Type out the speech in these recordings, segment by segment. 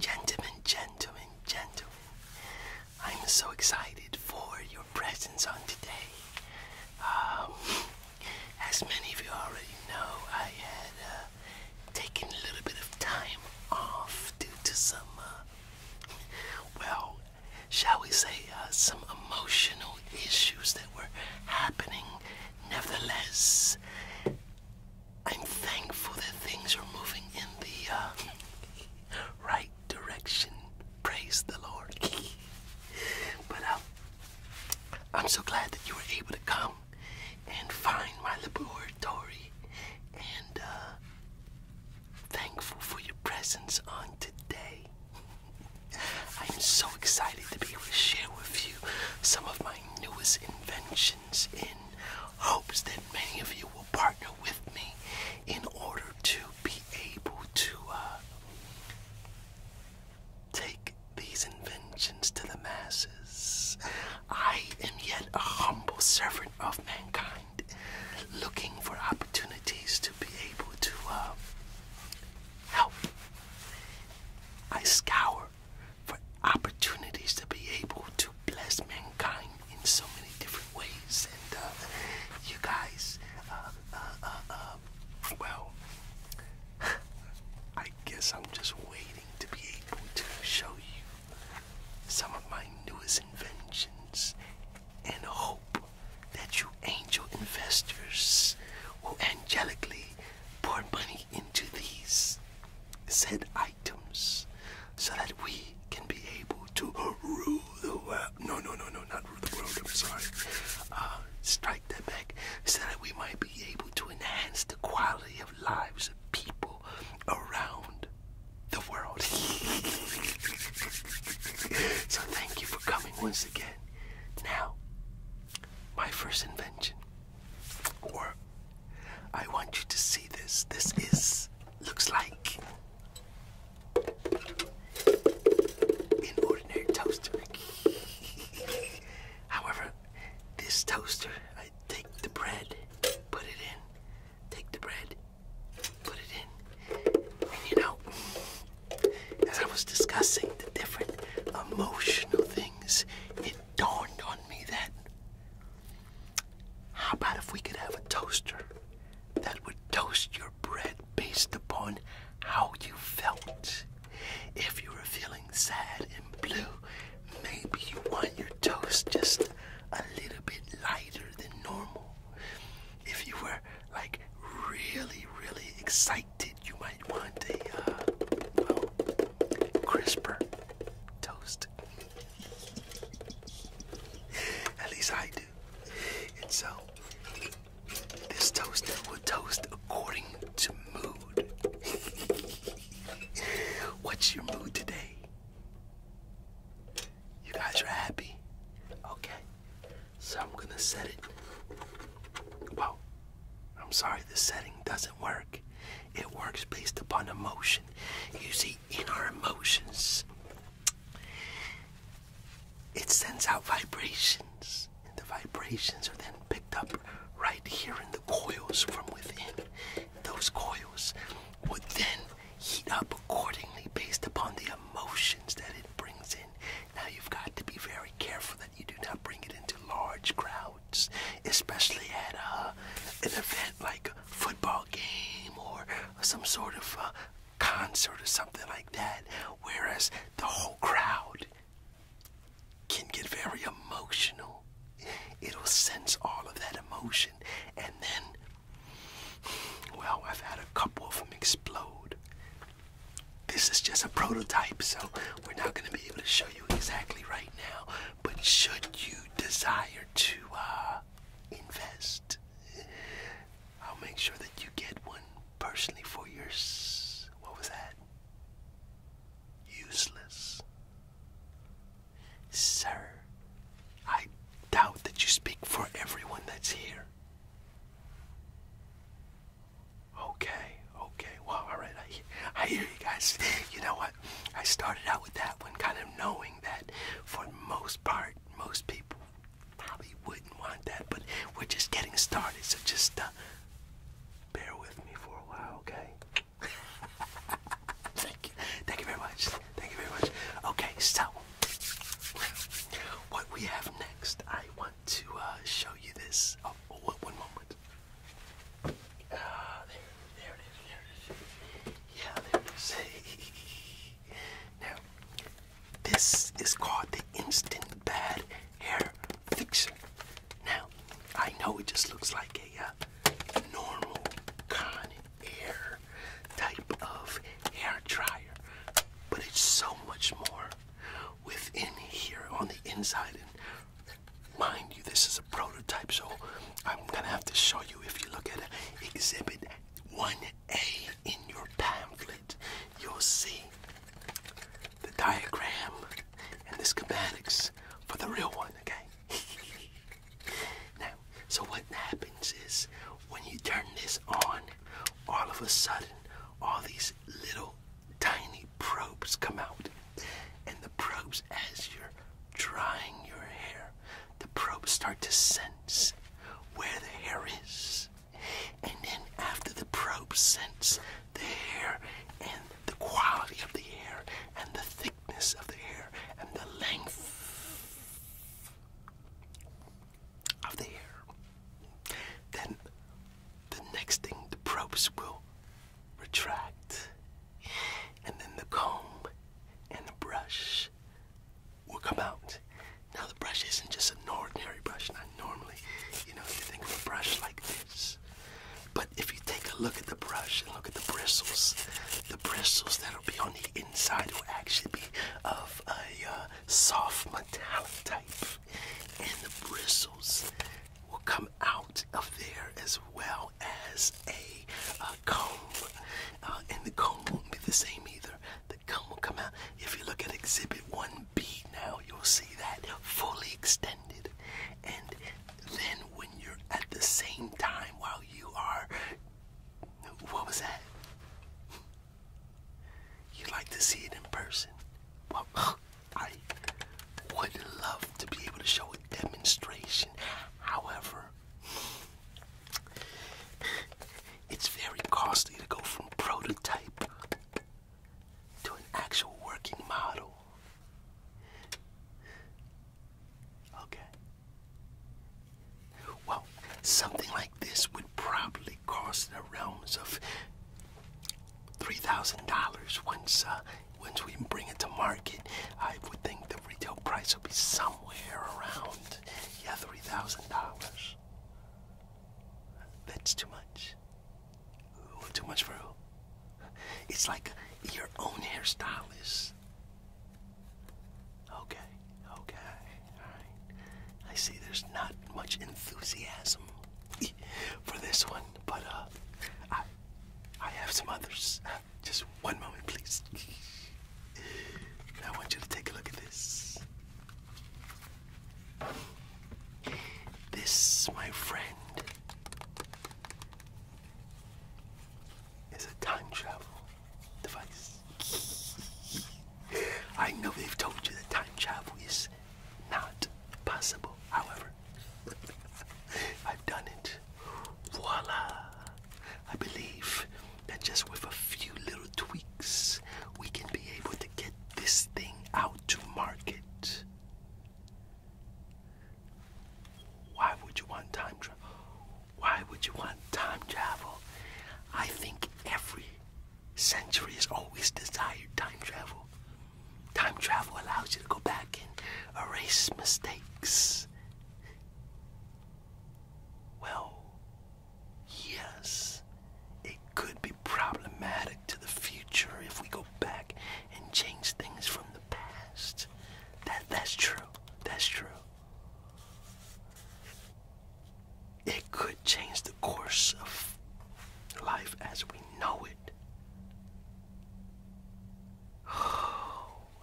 Gentlemen, gentlemen, gentlemen, I'm so excited for your presence on today. Um, as many of you already know, I had uh, taken a little bit of time off due to some, uh, well, shall we say, uh, some emotional issues that were happening. Nevertheless, I'm thankful that things are moving in the uh, right direction. Praise the Lord. but uh, I'm so glad that you were able to come and find my laboratory and uh, thankful for your presence on today. I'm so excited to be able to share with you some of my newest inventions in hopes that many of you will partner with me in order to be able to uh, take these inventions to the masses. I am yet a humble servant of mankind, looking for opportunities to be able to uh, help. I scour for opportunities to be able to bless mankind in so many different ways. And uh, you guys, uh, uh, well, I guess I'm just waiting to be able to show you some of my newest inventions and hope that you angel investors will angelically pour money into these said items so that we can be able to rule the world. No, no, no, no, not rule the world, I'm sorry. Uh, strike that back so that we might be able to enhance the quality of lives of people around the world. so thank you for coming once again. Now, my first invention. Or I want you to see this. This is looks like an ordinary toaster. However, this toaster, I take the bread, put it in, take the bread, put it in. And you know, as I was discussing the different emotional things it dawned on me that how about if we could have a toaster that would toast your bread based upon how you felt? If you were feeling sad and blue, maybe you want your toast just a little bit lighter than normal. If you were like really, really excited, you might might want the uh, crisper toast. At least I do. And so, this toaster will toast according to mood. What's your mood today? You guys are happy? Okay. So I'm gonna set it. Well, I'm sorry, the setting doesn't work. It works based upon emotion. You see, in our emotions, it sends out vibrations, and the vibrations are then picked up right here in the coils from within. Those coils would then heat up accordingly based upon the emotions that it brings in. Now, you've got to be very careful that you do not bring it into large crowds especially at uh, an event like a football game or some sort of uh, concert or something like that, whereas the whole crowd can get very emotional. It'll sense all of that emotion, and then, well, I've had a couple of them explode. This is just a prototype, so we're not going to be able to show you exactly right now, but should you desire to uh, invest, I'll make sure that you get one personally for yours. What was that? Useless. Sir, I doubt that you speak for everyone that's here. Okay, okay. Well, all right. I, hear you guys. You know what? I started out with that one, kind of knowing that for most part, most people probably wouldn't want that, but we're just getting started, so just uh, bear with me for a while, okay? Thank you. Thank you very much. Thank you very much. Okay, so what we have next, I want to uh, show you this. Oh, one moment it. Ah, there, it is, Yeah, there it is. now, this is called the Instant Bad Hair Fixer. Now, I know it just looks like a uh, normal Con Air type of hair dryer, but it's so much more within here on the inside Mind you, this is a prototype, so I'm gonna have to show you if you look at exhibit 1A in your pamphlet, you'll see the diagram and the schematics for the real one, okay? now, so what happens is when you turn this on, all of a sudden, all these little tiny probes come out. And the probes, as you're drying your hair, the probes start to sense where the hair is. And then, after the probes sense the hair and the quality of the hair and the thickness of the hair and the length of the hair, then the next thing the probes will retract, and then the comb and the brush will come out. Now, the brush isn't just an ordinary brush, not normally, you know, you think of a brush like this. But if you take a look at the brush and look at the bristles, the bristles that'll be on the inside will actually be of a uh, soft metallic type. And the bristles will come out of there as well as a, comb. Uh, and the comb won't be the same either. The comb will come out. If you look at Exhibit 1B now, you'll see that fully extended. And then when you're at the same time while you are. What was that? You'd like to see it in person. I would love to be able to show a demonstration. However, it's very costly to go from prototype to an actual working model. Okay. Well, something like this would probably cross the realms of $3,000 once uh, once we bring it to market. I would think the retail price will be somewhere around yeah, $3,000. That's too much. too much for who? It's like your own hairstylist. Okay, okay, alright. I see there's not much enthusiasm for this one, but uh, I, I have some others. Just one moment, please. I want you to take a look at this. This, my friend, is a time travel device. I know they've told you that time travel is not possible. However, I've done it. Voila! I believe that just with a few little tweaks, we can be able to get this thing out to market. Why would you want time travel? Why would you want time travel? I think every Centuries always desired time travel. Time travel allows you to go back and erase mistakes. Well, yes, it could be problematic to the future if we go back and change things from the past. That that's true. That's true. It could change the course of life as we know it.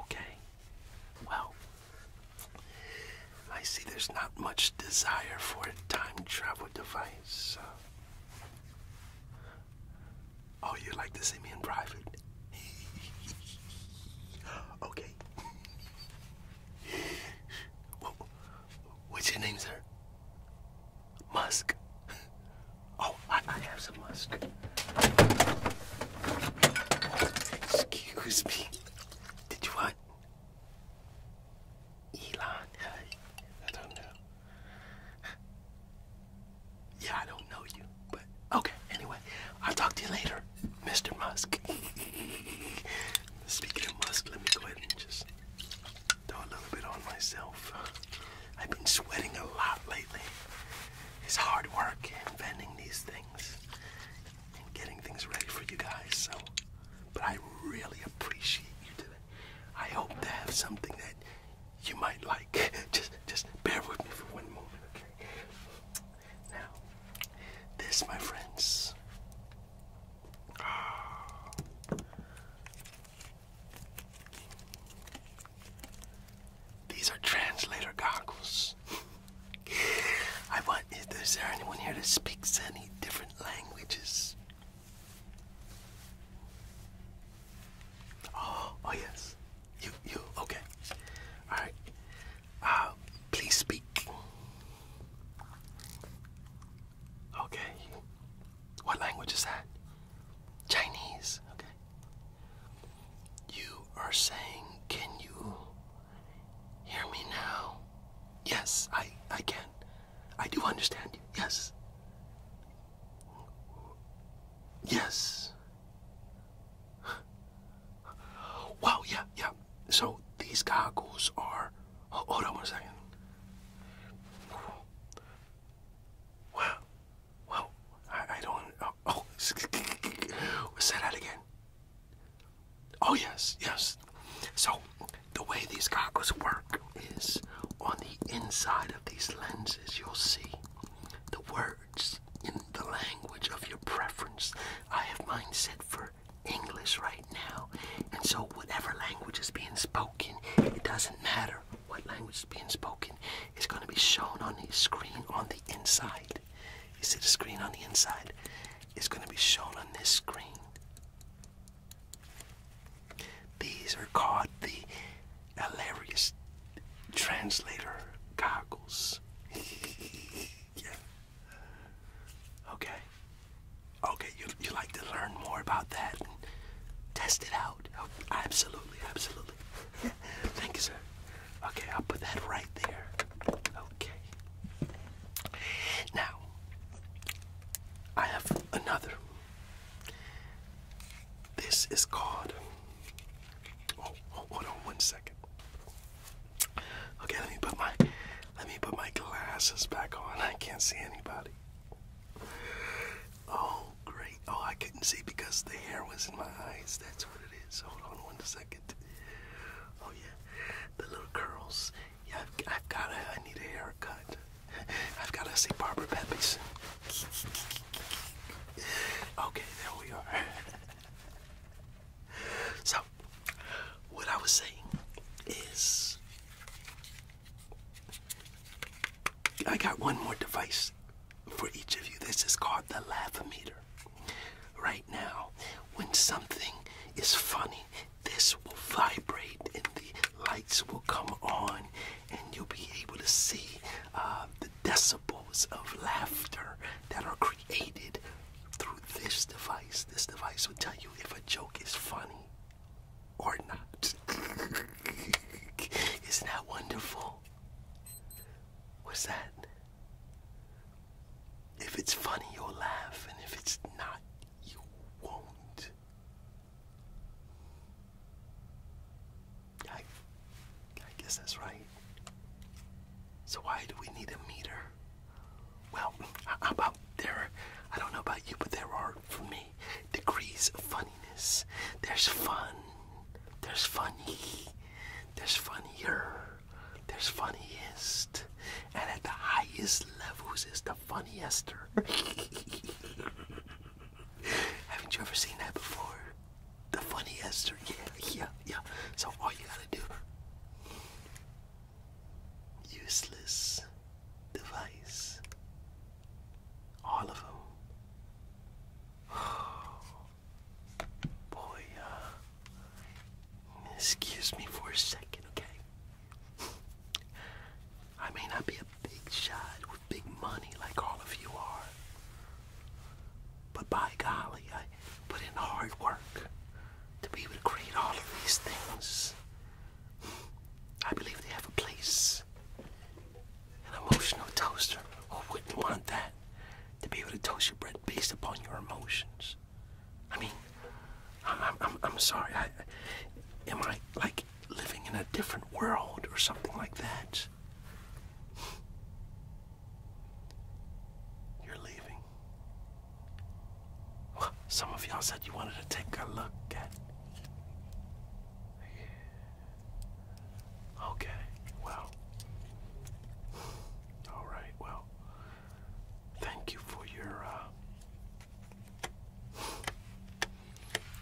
okay. Well, I see there's not much desire for a time travel device. Oh, you'd like to see me in private? okay. What's your name, sir? musk. Oh, I, have some musk. Excuse me. Did you want Elon? I don't know. Yeah, I don't know you, but okay. Anyway, I'll talk to you later, Mr. Musk. Speaking of Musk, let me go ahead and just Throw a little bit on myself. I've been sweating a lot lately. It's hard work inventing these things and getting things ready for you guys. So, but I really appreciate you doing it. I hope to have something that you might like. Just, just bear with me for one moment, okay? Now, this, my friends, these are translator goggles. I want, is there anyone here that speaks any different languages? Oh, oh yes. You, you, okay. All right. Uh, please speak. Okay. What language is that? Chinese. Okay. You are saying, can you hear me now? Yes, I, I can. I do understand you. Yes. Yes. Wow, yeah, yeah. So these goggles are Oh, hold on one second. Wow. Wow. I, don't. Oh, oh say that again. Oh, yes, yes. So, the way these goggles work is on the inside of these lenses, you'll see the words in the language of your preference. I have mine set for hear English right now. And so, whatever language is being spoken, it doesn't matter what language is being spoken, it's going to be shown on the screen on the inside. You see the screen on the inside? It's going to be shown on this screen. These are called the hilarious translator goggles. yeah. Okay. Okay, you like to learn more about that and test it out. Oh, absolutely, absolutely. Thank you, sir. Okay, I'll put that right there. Okay. Now, I have another. This is called. Oh, oh hold on one second. Okay, let me put my let me put my glasses back on. I can't see anybody. Oh, great. Oh, I couldn't see because the hair was in my eyes. That's what it is. Hold on one second. Oh, yeah. The little curls. Yeah, I've, got to. I need a haircut. I've got to see Barbara Peppies. Okay, there we are. so, what I was saying is I got one more device for each of you. This is called the laughometer. Right now, when something is funny, this will vibrate and the lights will come on, and you'll be able to see uh, the decibels of laughter that are created through this device. This device will tell you if a joke is funny or not. Isn't that wonderful? What's that? If it's funny, you'll laugh, and if it's not, you won't. I, I guess that's right. So, why do we need a meter? Well, about there? I don't know about you, but there are, for me, degrees of funniness. There's fun. There's funny. There's funnier. There's funniest. And at the highest levels is the funniester. Haven't you ever seen that before? The funniester, yeah, yeah, yeah. So all you gotta do useless device. All of them. Oh, boy, uh, excuse me for a second, okay? I may not be a big shot with big money like all of you are, but by golly, I put in hard work to be able to create all of these things. I believe they have a place. An emotional toaster, who wouldn't want that? To be able to toast your bread based upon your emotions. I mean, I'm, I'm, I'm sorry. I, am I like living in a different world or something like that? You're leaving. Some of y'all said you wanted to take a look at. Okay, well. Alright, well. Thank you for your uh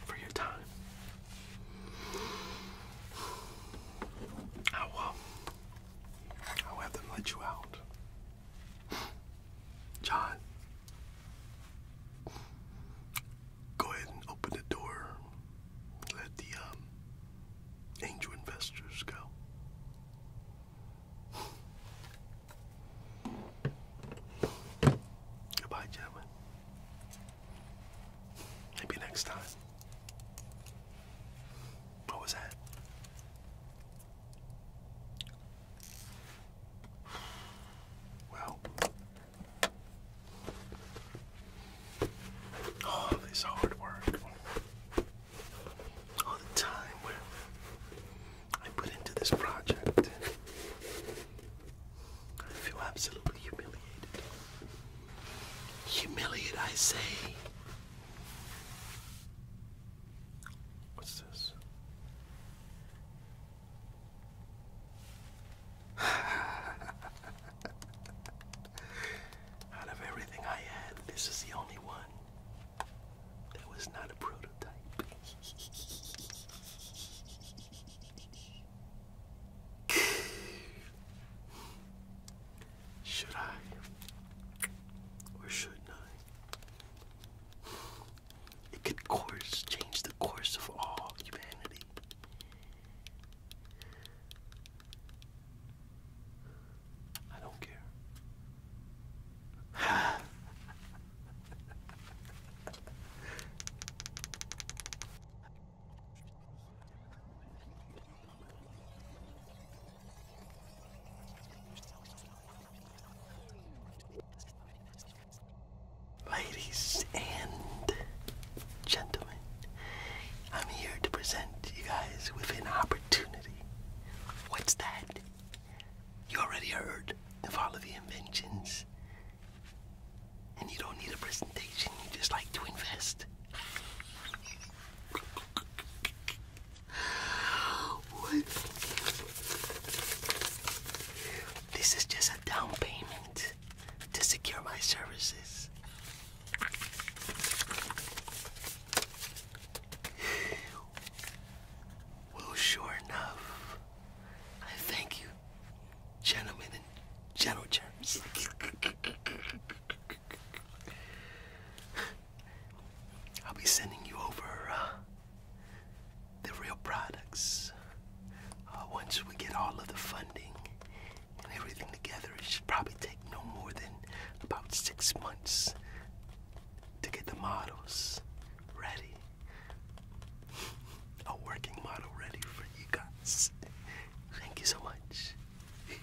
for your time. I will I'll have them let you out. John, go ahead and open the door. Let the um, angel investors go. Goodbye, gentlemen. Maybe next time. What was that? Well, all this hard work, all the time I put into this project, I feel absolutely humiliated. Humiliated, I say. What's this? Out of everything I had, this is the only one that was not a prototype. Should I? Or shouldn't I? It could course change the course of all humanity. I don't care. Ladies and gentlemen, I'm here to present you guys with an opportunity. What's that? You already heard of all of the inventions, and you don't need a presentation, you just like to invest. This is just a down payment to secure my services. Well, sure enough, I thank you, gentlemen and gentle germs. I'll be sending you over uh, the real products uh, once we get all of the funding and everything together. It should probably take no more than about six months to get the models ready. A working model ready for you guys. Thank you so much.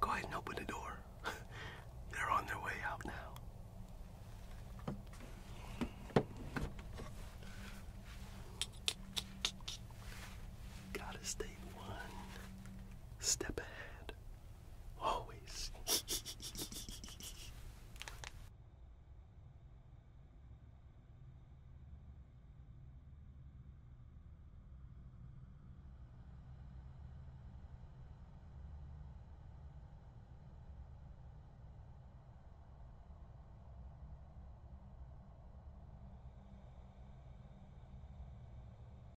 Go ahead and open the door. They're on their way out now. Gotta stay one step ahead. Always.